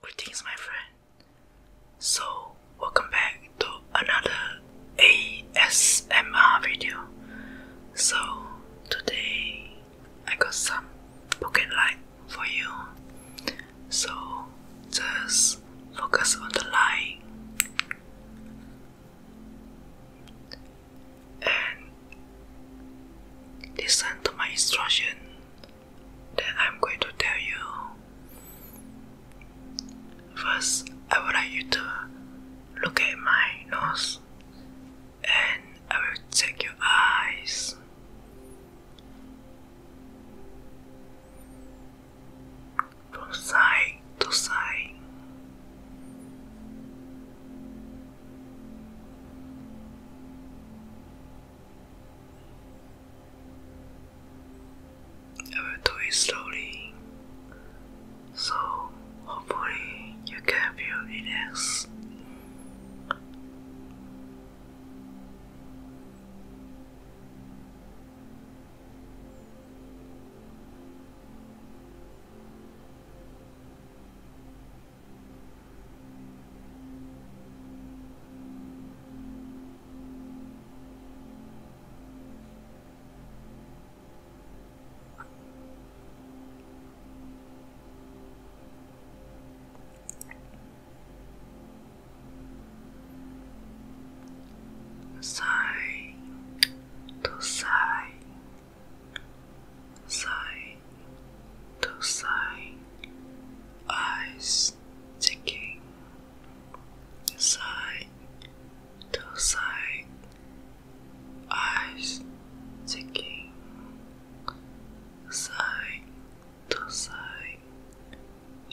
Greetings, my friend. So, welcome back to another ASMR video. So, today I got some pocket light for you. So, just focus on the light and listen to my instruction then I'm going to tell you. First, I would like you to look at my nose and I will check your eyes. From side to side. I will do it slowly, so hopefully you can feel relaxed side to side side to sign eyes checking side to side eyes checking side to side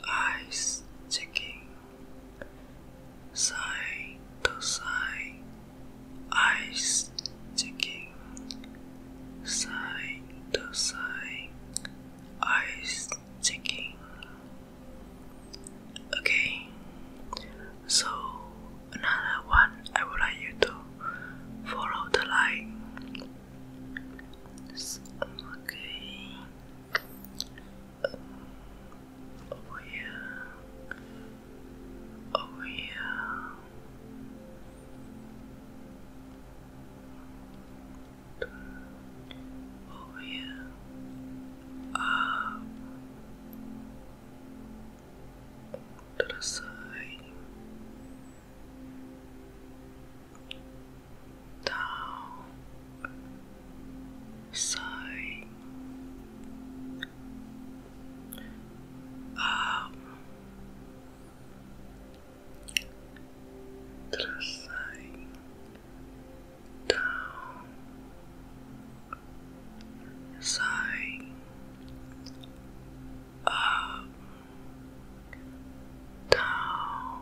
eyes checking side to side eyes checking Side to side, eyes checking. Okay, so another one I would like you to follow the line. okay, um, over here, over over here, up to the side, down, side, up traçarem down sign up down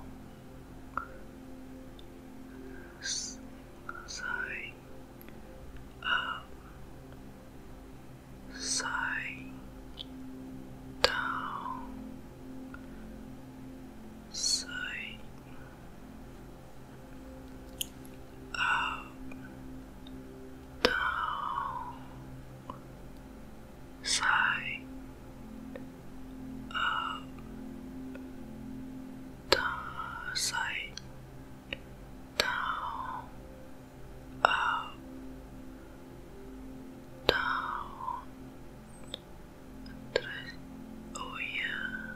sign up side down, side up, down, side up, down, side down up, down, and Oh yeah,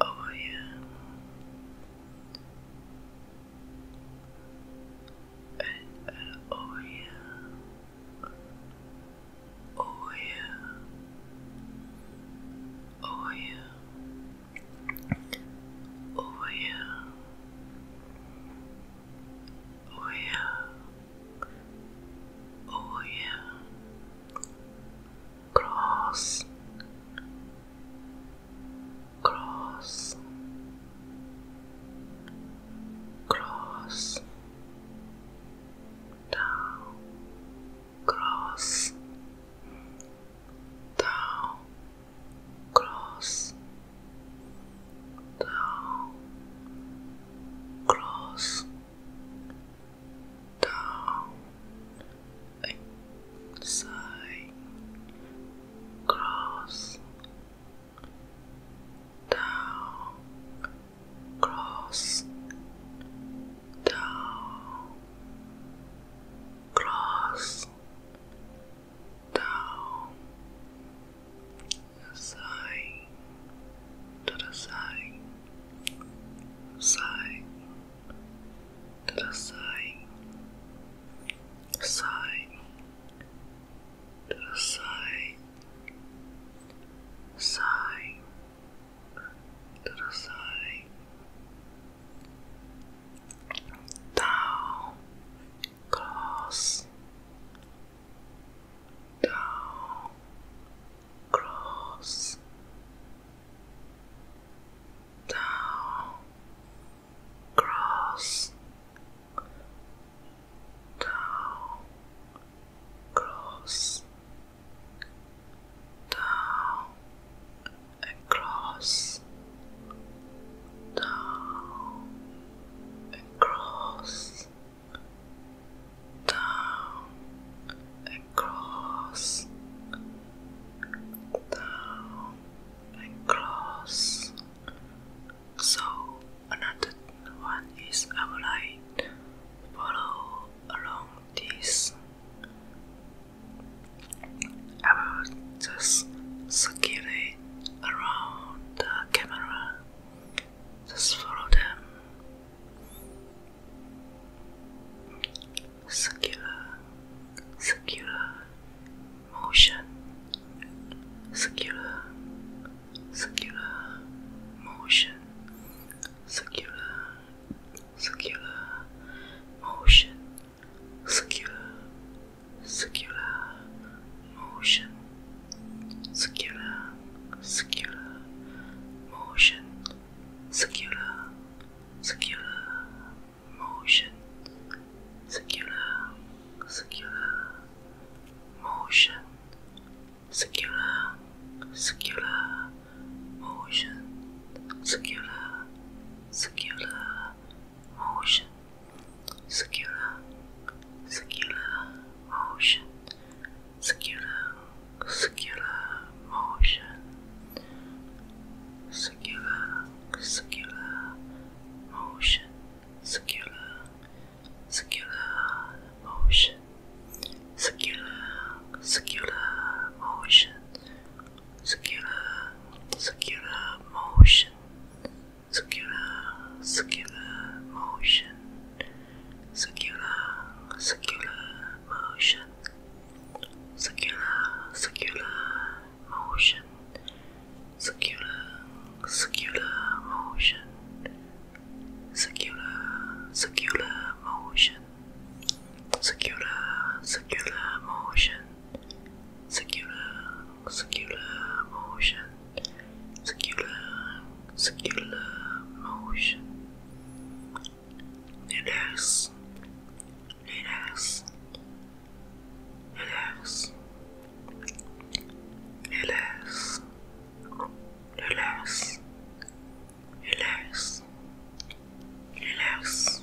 oh yeah, oh yeah, oh yeah, oh yeah. Oh yeah. Oh yeah. Oh yeah. Cross. Cross. Cross. Down. Cross down, cross, down, cross, down, inside, cross, down, cross, down, cross down side to the side side to the side side to the side side to the side down, cross, down, cross, down, cross, down, cross, down, across, down, across, down, across, down, across. So another one is I would like along this I will just circle around the camera. Just follow them. Circular, circular motion, circular, circular motion, circular, circular motion circular, circular motion, circular, circular motion, circular, circular motion, circular, circular motion, circular, circular motion, circular, circular motion, circular, circular motion, circular, circular motion, circular, circular motion, circular, circular motion, circular, circular motion circular, circular motion, circular, circular motion, circular, circular motion, circular, circular motion, circular, circular motion, circular, circular motion, circular, circular motion circular, circular motion, circular, circular motion. Relax, relax, relax, relax, relax, relax, relax.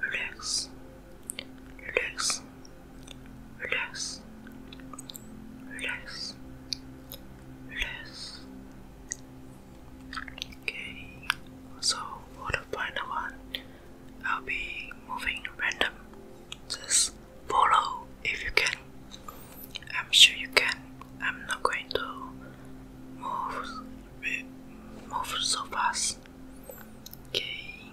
relax, relax, relax, relax, relax. Okay, so for the final one, I'll be moving random. Just follow if you can. I'm sure you can. I'm not going to move move so fast. Okay.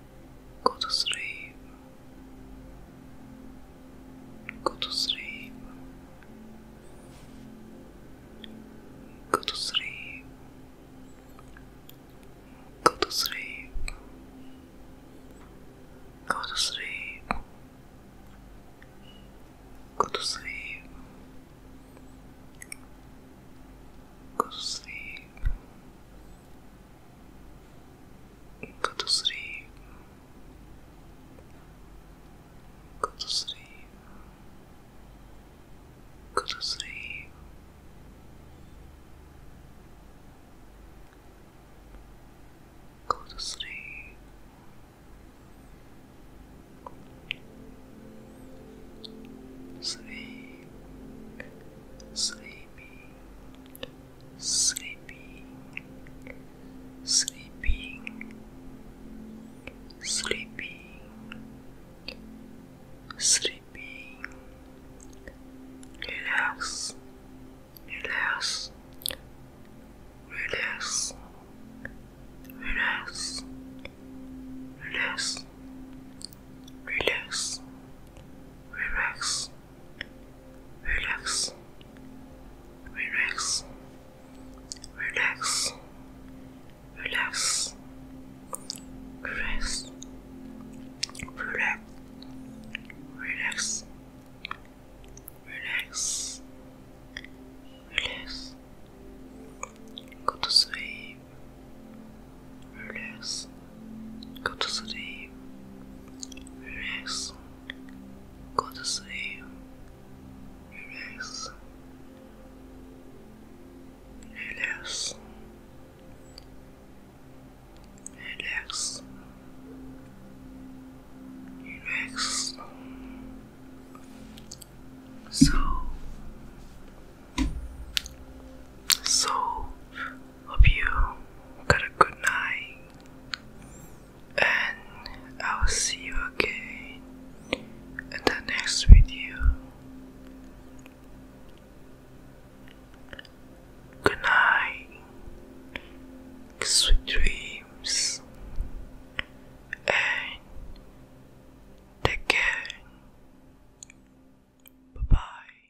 Gå to sleep. Go to sleep. Go to sleep. Go to sleep. Go to sleep. Go to sleep. Go to sleep. Go to sleep go to sleep, go to sleep, go to sleep. Go to sleep. Sleep, sleepy, sleeping, sleeping, sleeping, sleeping. Relax, relax, relax, relax, relax, relax, relax relax, relax, relax, relax, relax, relax, relax, relax, relax, go to sleep relax, go to sleep, relax, go to sleep, relax, relax, relax, So, so. Hope you got a good night, and I'll see you again in the next video. Good night, sweet dreams, and take care. Bye bye.